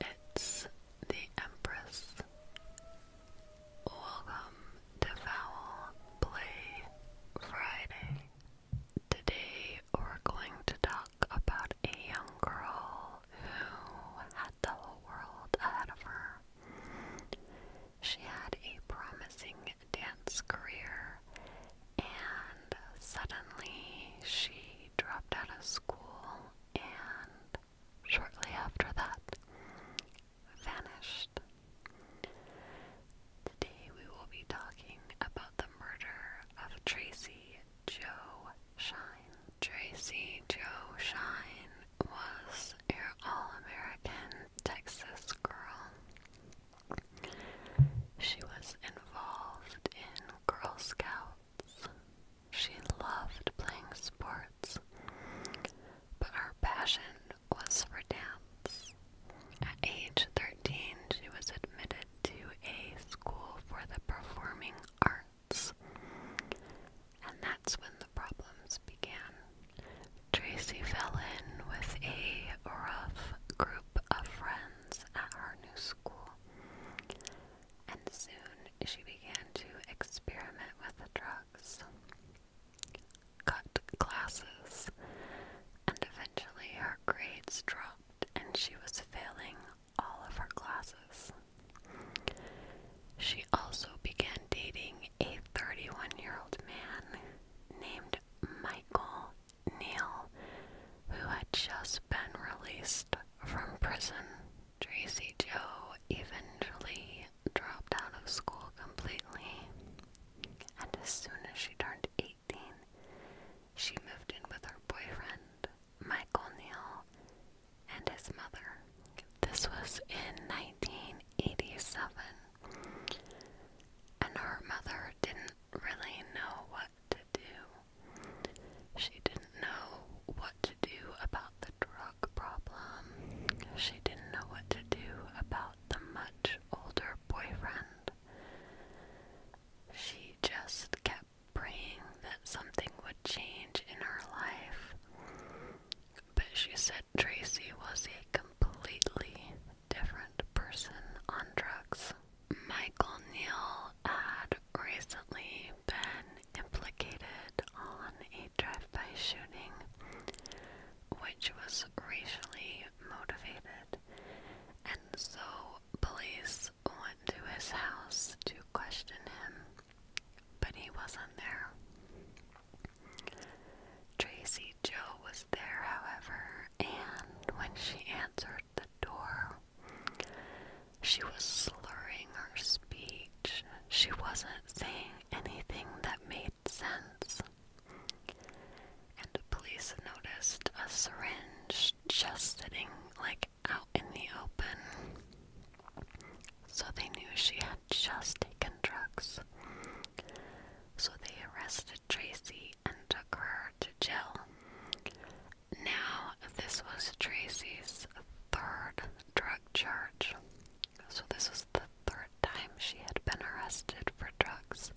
It's the Empress. Welcome to Foul Play Friday. Today we're going to talk about a young girl who had the whole world ahead of her. She had a promising dance career and suddenly she dropped out of school and shortly after that, vanished. Today we will be talking about the murder of Tracy Joe Shine. Tracy Joe Shine was an all American Texas girl. She was involved in Girl Scout she loved playing sports, but her passion was for dance. At age 13, she was admitted to a school for the performing arts. And that's when the problems began. Tracy fell in with a rough group of friends at her new school and soon she began to experiment with the drugs, cut classes, and eventually her grades dropped and she was failing all of her classes. She also began dating a 31 year old man named Michael Neal, who had just been released from prison. Tracy Joe eventually dropped out of school completely, and as soon as she turned 18, she moved in with her boyfriend, Michael Neal, and his mother. This was in 1987, and her mother didn't really know what to do. She didn't know what to do about the drug problem. She didn't know what to do about the much older boyfriend. She just kept praying that something would change in her life. But she said Tracy was a completely different person on drugs. Michael Neal had recently been implicated on a drive-by shooting, which was racially motivated, and so police went to his house to question him, but he wasn't there. Tracy Joe was there, however, and when she answered the door. She was slurring her speech. She wasn't saying anything that made sense. And the police noticed a syringe just sitting like out in the open. So they knew she had just taken drugs. So they arrested Tracy and took her to jail. Now, this was Tracy's third drug charge. So, this was the third time she had been arrested for drugs.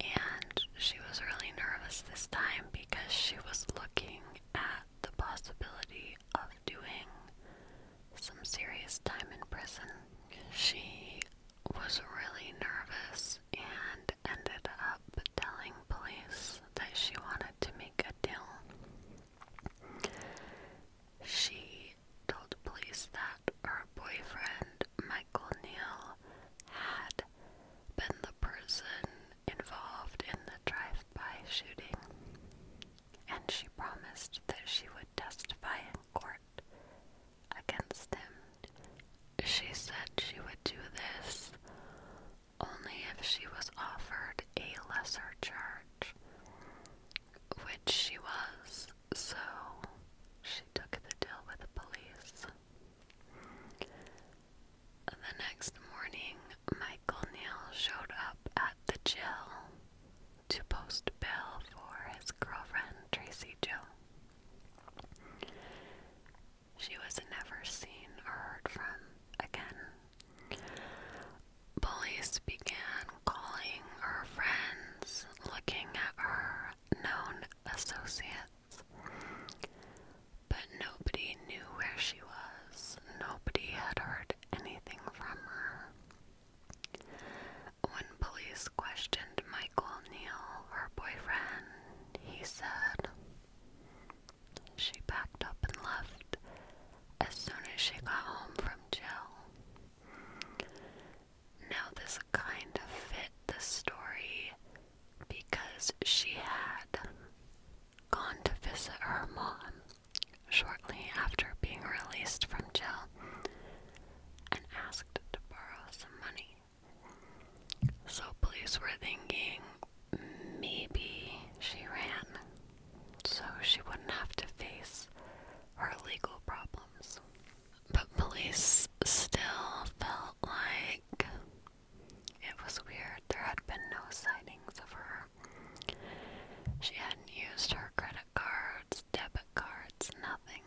And she was really nervous this time because she was looking at the possibility of doing some serious time in prison. She was really nervous and ended up telling police that she wanted to make a deal. She told police that her boyfriend, Michael Neal, had been the person involved in the drive by shooting, and she promised that she would testify in court against him. She said she would do this only if she was offered a lesser charge, which she was, so she took the deal with the police. The next morning, Michael Neal showed up at the jail to post bail for his girlfriend, Tracy Joe. She was never seen or heard from again. Police began calling her friends, looking at her known associates. But nobody knew where she was. Nobody had heard anything from her. When police questioned Michael Neal, her boyfriend, he said. She packed up and left as soon as she got home from jail. Now, this kind of fit the story because she had gone to visit her mom shortly after being released from jail and asked to borrow some money. So police were thinking maybe she ran so she wouldn't have to face her legal problems. But police still felt like it was weird. There had been no sightings of her. She hadn't used her credit cards, debit cards, nothing.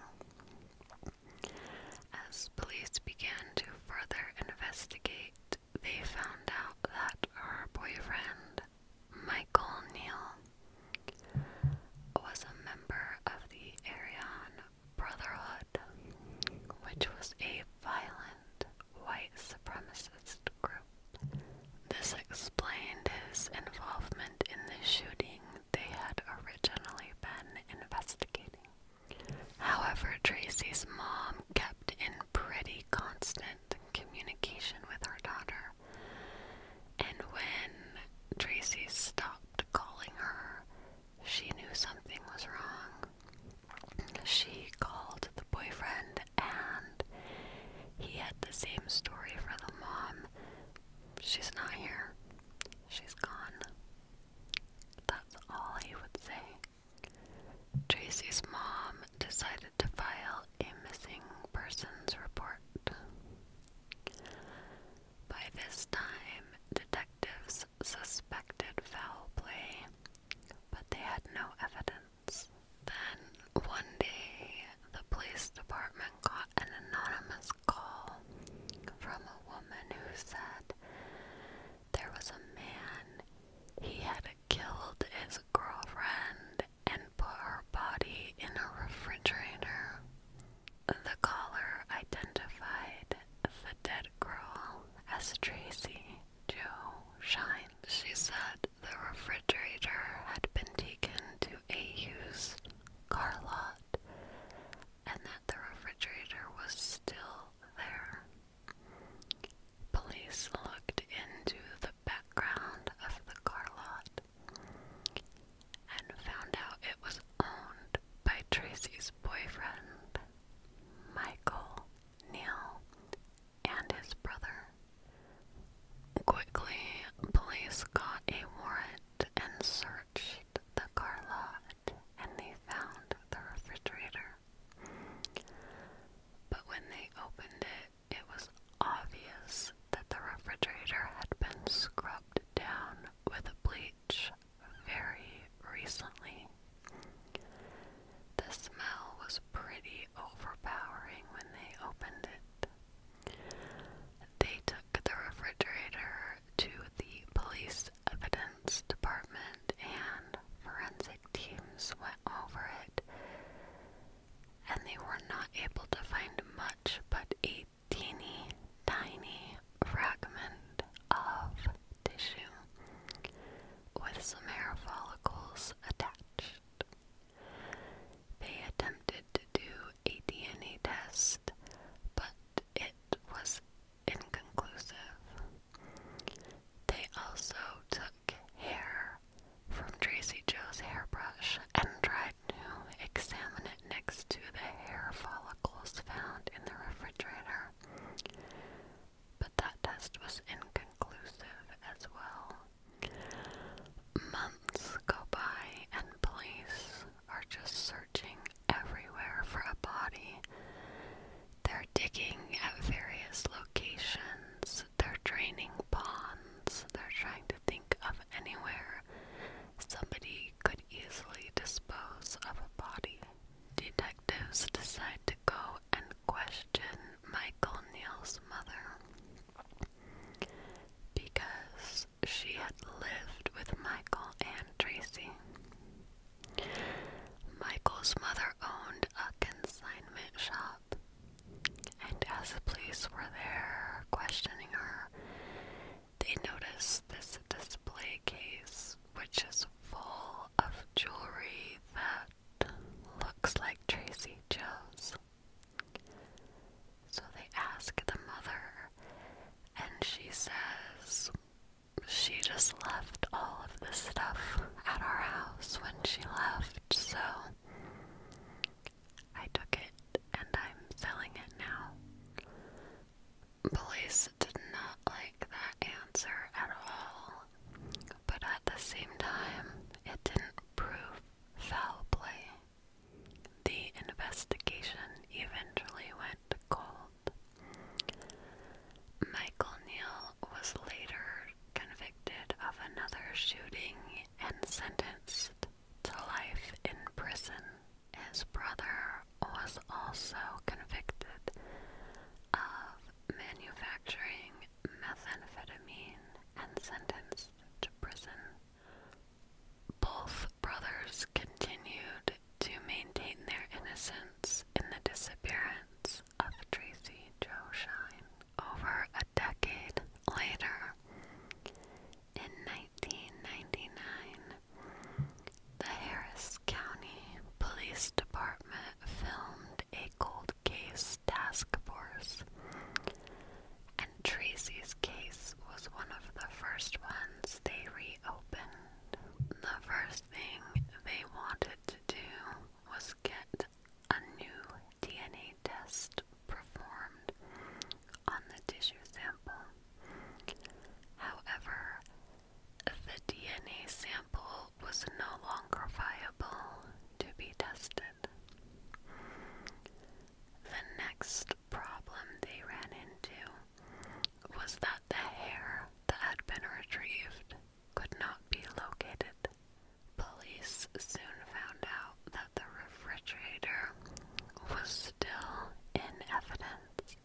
As police began to further investigate, they found out that her boyfriend, Michael Neal, was a member of the Aryan Brotherhood, which was a violent white supremacist group. This explained his involvement in the shooting they had originally been investigating. However, Tracy's mom kept in pretty constant communication with her daughter, and when Tracy stopped calling her, she knew something was wrong. She called the boyfriend, and he had the same story for the mom. She's not here. She's gone. That's all he would say. Tracy's mom decided to file a missing persons report. By this time, detectives suspected foul play, but they had no evidence. Then, one day, the police department got an anonymous call from a woman who said there was a man, he had killed his girlfriend and put her body in a refrigerator. The caller identified the dead girl as Tracy Joe Shine. She said the refrigerator had been taken to a used car lot and the refrigerator was still there. Police looked into the background of the car lot and found out it was owned by Tracy's boyfriend, Michael Neal, and his brother. Quickly, police got a warrant and searched the car lot and they found the refrigerator. But when they opened it, it was obvious that the refrigerator had been scrubbed down with bleach very recently. The smell was pretty overpowering when they opened it. They took the refrigerator to the police Evidence Department and forensic teams went over it, and they were not able to find much but a teeny tiny fragment of tissue with some hair follicles attached. They attempted to do a DNA test, but it was inconclusive. They also took hair from Tracy Joe's hairbrush and tried to examine it next to the hair follicles found in the refrigerator. But that test was inconclusive as well. Months go by and police are just searching everywhere for a body. They're digging at various locations. They're draining ponds. They're trying to think of anywhere somebody could easily dispose of a body. Detectives decide to go and question Michael Neal's mother because she had lived with Michael and Tracy. Michael's mother owned a consignment shop, and as the police were there questioning her, they noticed this display case, which is full of jewelry that looks like Tracy Joe's. So they asked the mother and she says she just left all of the stuff at our house when she left, so I took it and I'm selling it now. Police did not like that answer at all, but at the same time, it didn't prove foul play. The investigation eventually went Michael Neal was later convicted of another shooting and sentenced to life in prison. His brother was also convicted of manufacturing methamphetamine and sentenced to prison both brothers continued to maintain their innocence in the disappearance of Tracy Jo Shine over a decade later. In 1999, the Harris County Police Department filmed a cold case task force, and Tracy's. This case was one of the first ones they reopened. The first thing they wanted to do was get a new DNA test performed on the tissue sample. However, the DNA sample was no longer viable to be tested. The next problem they ran into was that the hair that had been retrieved could not be located. Police soon found out that the refrigerator was still in evidence,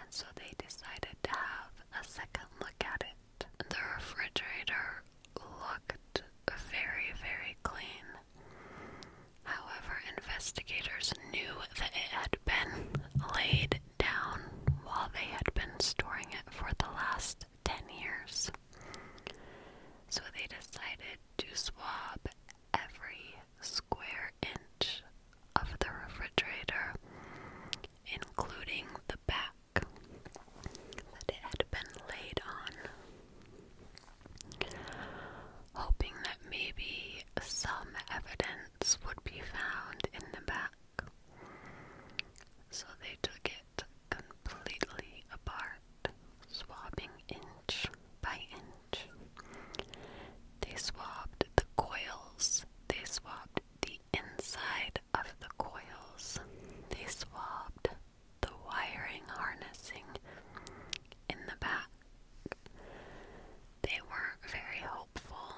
and so they decided to have a second look at it. The refrigerator looked very, very clean, However, investigators knew that it had been laid down while they had been storing it for the last 10 years. So they decided to swab every square inch of the refrigerator, including the back that it had been laid on hoping that maybe some evidence would be found in the back. So they took it completely apart, swabbing inch by inch. They swabbed the coils, they swabbed the inside of the coils, they swabbed the wiring harnessing in the back. They weren't very hopeful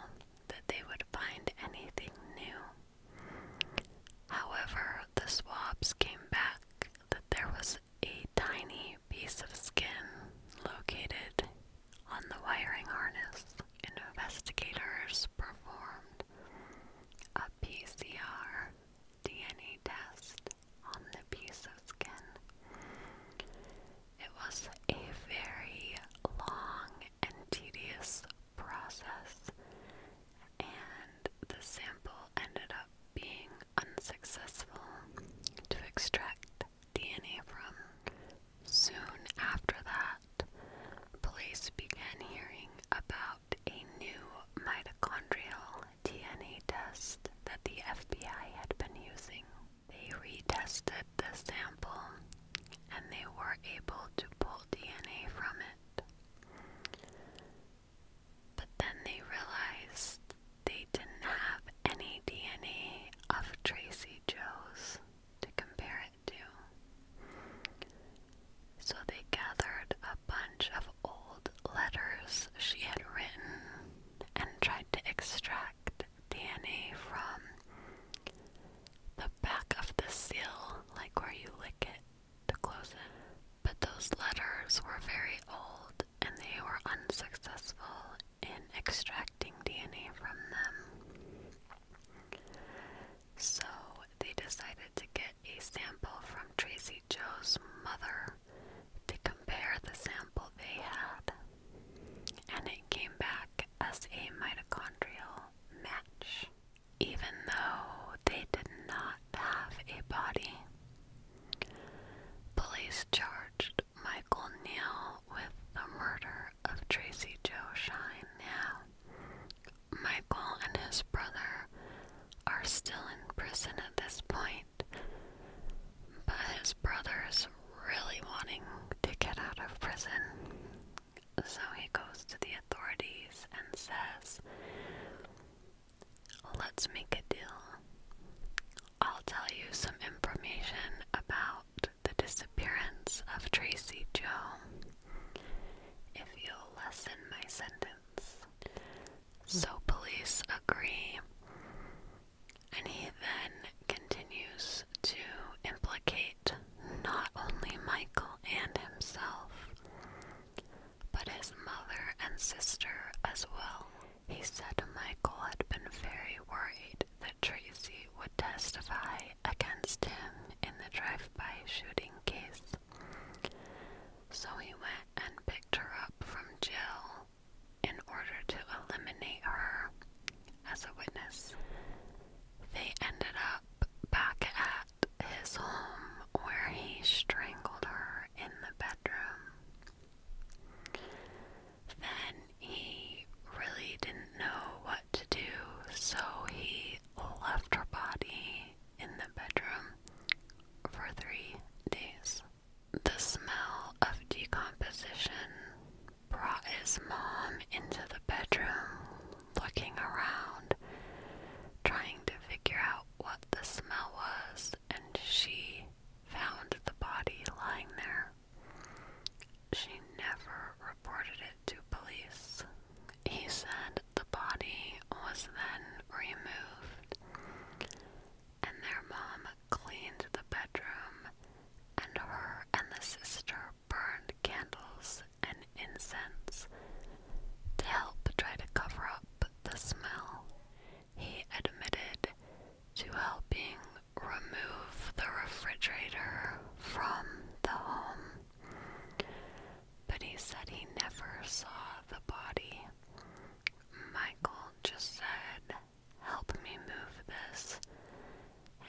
that they would find anything new. However, the swabs came back that there was a tiny piece of skin located on the wiring harness. Investigators performed a PCR DNA test on the piece of skin. It was a very long and tedious process, and the sample ended up being unsuccessful to extract DNA from. Soon after that, police began hearing about a new mitochondrial DNA test that the FBI had been using. They retested the sample and they were able to pull DNA from it. But then they realized they didn't have any DNA of Tracy Joe's to compare it to. So they gathered a bunch of old letters she had written and tried to extract DNA from the back of the seal, like where you lick it to close it. But those letters were very old and they were unsuccessful in extracting DNA from them. So they decided to get a sample from Tracy Joe's mother to compare the sample they had, and it came back as a mitochondrial match, even though they did not have a body. Police charged Michael Neal with the murder of Tracy Joe Shine. Now, Michael and his brother are still in prison at this point, night. But his brother is really wanting to get out of prison. So he goes to the authorities and says, Let's make a deal. I'll tell you some information about the disappearance of Tracy Joe if you'll lessen my sentence. So police agree, and he then continues to implicate not only Michael and himself, but his mother and sister as well. He said Michael had been very worried that Tracy would testify against him in the drive-by shooting case. So he went and picked her up from jail in order to eliminate her as a witness. They ended up back at his home where he strangled her in the bedroom. Then he really didn't know what to do, so he left her body in the bedroom for three days. The smell of decomposition brought his mom into the bedroom, looking around, trying to figure out what the smell was, and she found the body lying there. She never reported it to police. He said the body was then removed and their mom cleaned the bedroom, and her and the sister burned candles and incense to help try to cover up the smell. He admitted to helping remove the refrigerator from the home, but he said he never saw the body. Michael just said, Help me move this.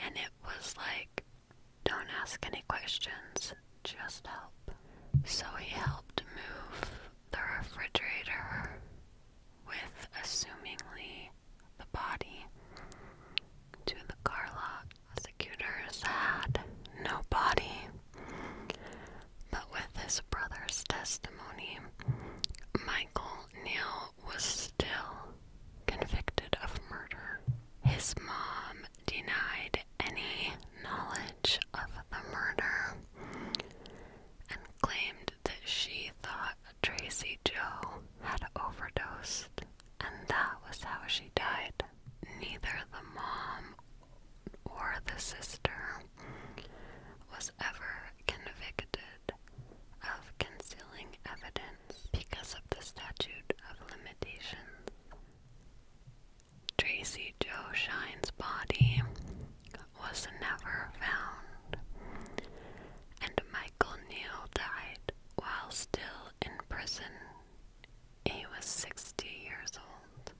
And it was like, Don't ask any questions, just help. So he helped move the refrigerator with, assumingly, the body to the car Lock. lot. Prosecutors had no body. But with his brother's testimony, Michael Neal was still convicted of murder. His mom denied any knowledge of the murder and claimed that she thought Tracy Joe had overdosed and that was how she died. Neither the mom or the sister was ever convicted of concealing evidence because of the statute of limitations. Tracy Joe Shine's body was never found, and Michael Neal died while still in prison. He was 60 years old.